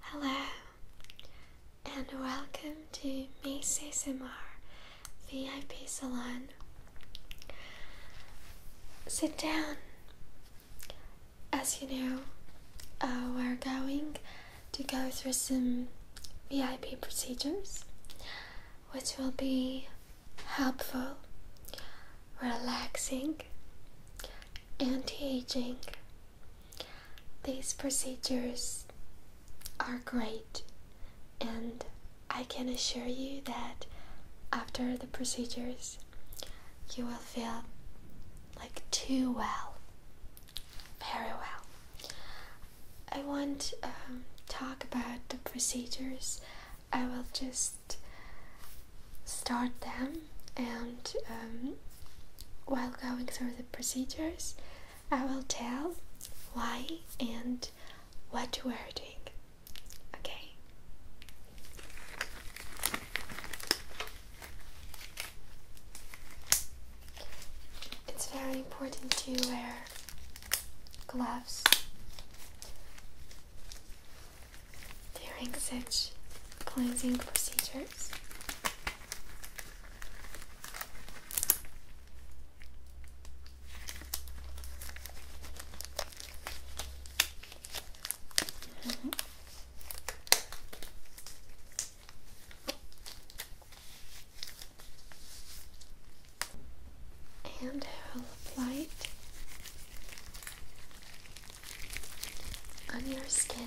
Hello, and welcome to Macy's MR VIP Salon. Sit down. As you know, uh, we're going to go through some VIP procedures, which will be helpful, relaxing, anti aging. These procedures are great, and I can assure you that after the procedures, you will feel like too well, very well. I won't um, talk about the procedures, I will just start them and um, while going through the procedures I will tell why and what you are doing. Okay. It's very important to wear gloves during such cleansing procedures. Mm-hmm. And apply it on your skin.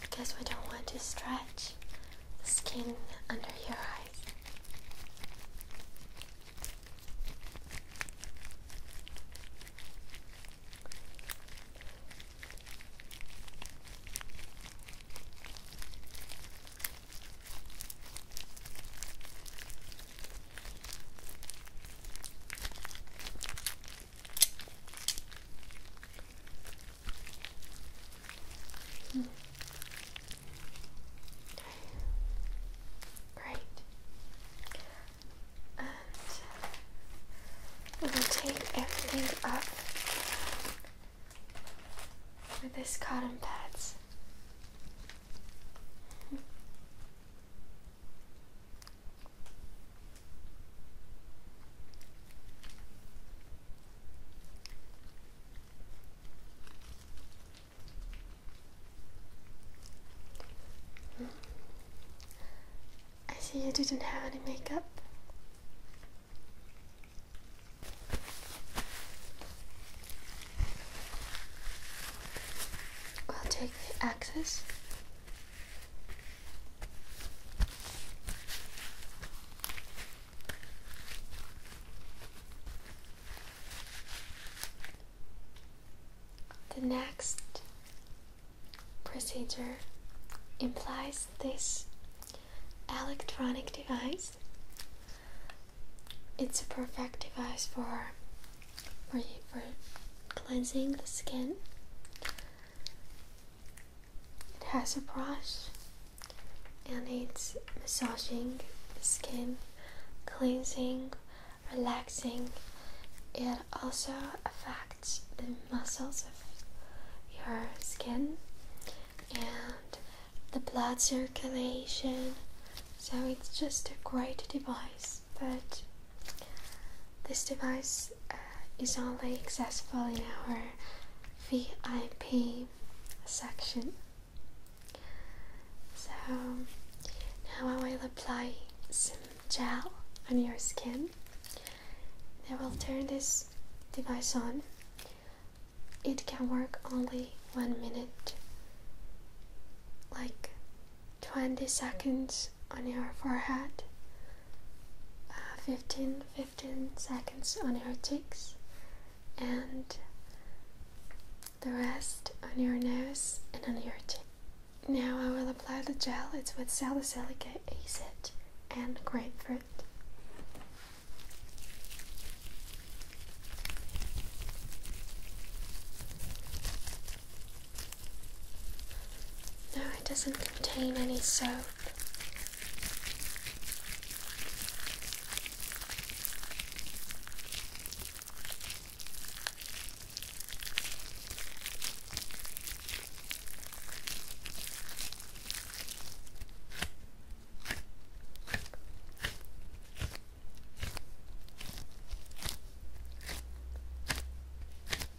because we don't want to stretch the skin under your eyes. Hmm. Great. And we'll take everything up with this cotton pads. I see you didn't have any makeup. i will take the axes. The next procedure implies this electronic device. It's a perfect device for, for, for cleansing the skin it has a brush and it's massaging the skin, cleansing, relaxing. It also affects the muscles of your skin and the blood circulation. So it's just a great device but this device uh, is only accessible in our VIP section. So now I will apply some gel on your skin. I will turn this device on. It can work only one minute, like 20 seconds on your forehead, uh, 15, 15 seconds on your cheeks, and the rest on your nose and on your chin. Now I will apply the gel, it's with salicylic acid and grapefruit. No, it doesn't contain any soap.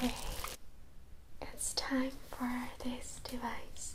Okay, it's time for this device.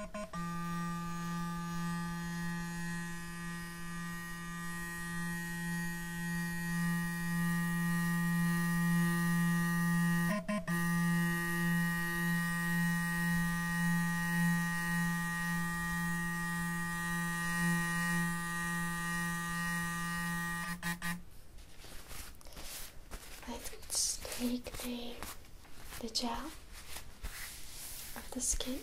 Let's take the the gel of the skin.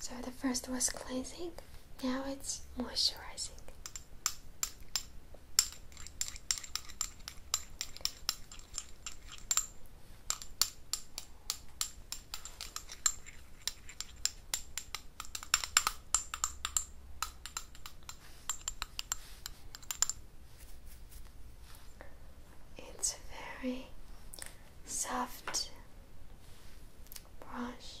So the first was cleansing. Now it's moisturizing. It's very soft brush.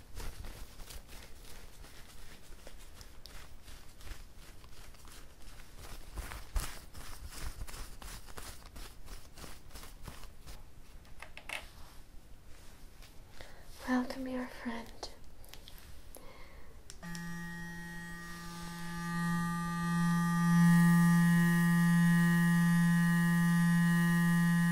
Welcome, your friend.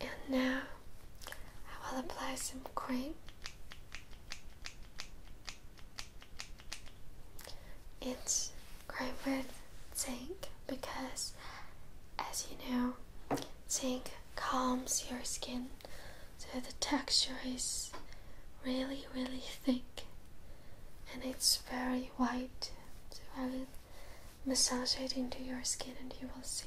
And now I will apply some cream it's cream with zinc because as you know zinc calms your skin so the texture is really really thick and it's very white so I will massage it into your skin and you will see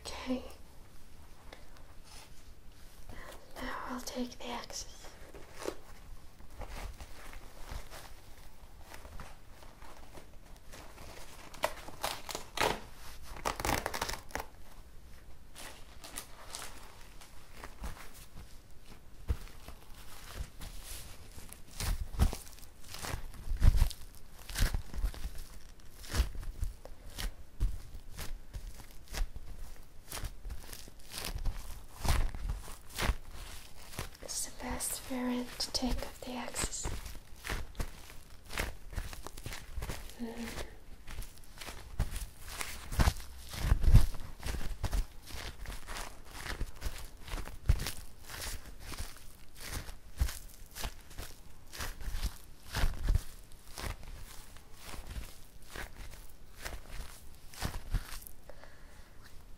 Okay. Now I'll take the axis. It's the best variant to take up the axis. Mm.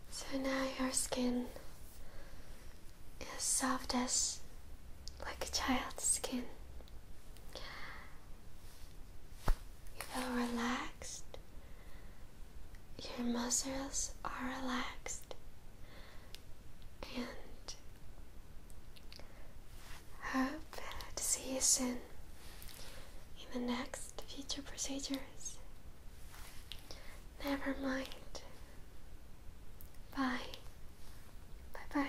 So now your skin is soft as like a child's skin. You feel relaxed. Your muscles are relaxed. And hope to see you soon in the next future procedures. Never mind. Bye. Bye bye.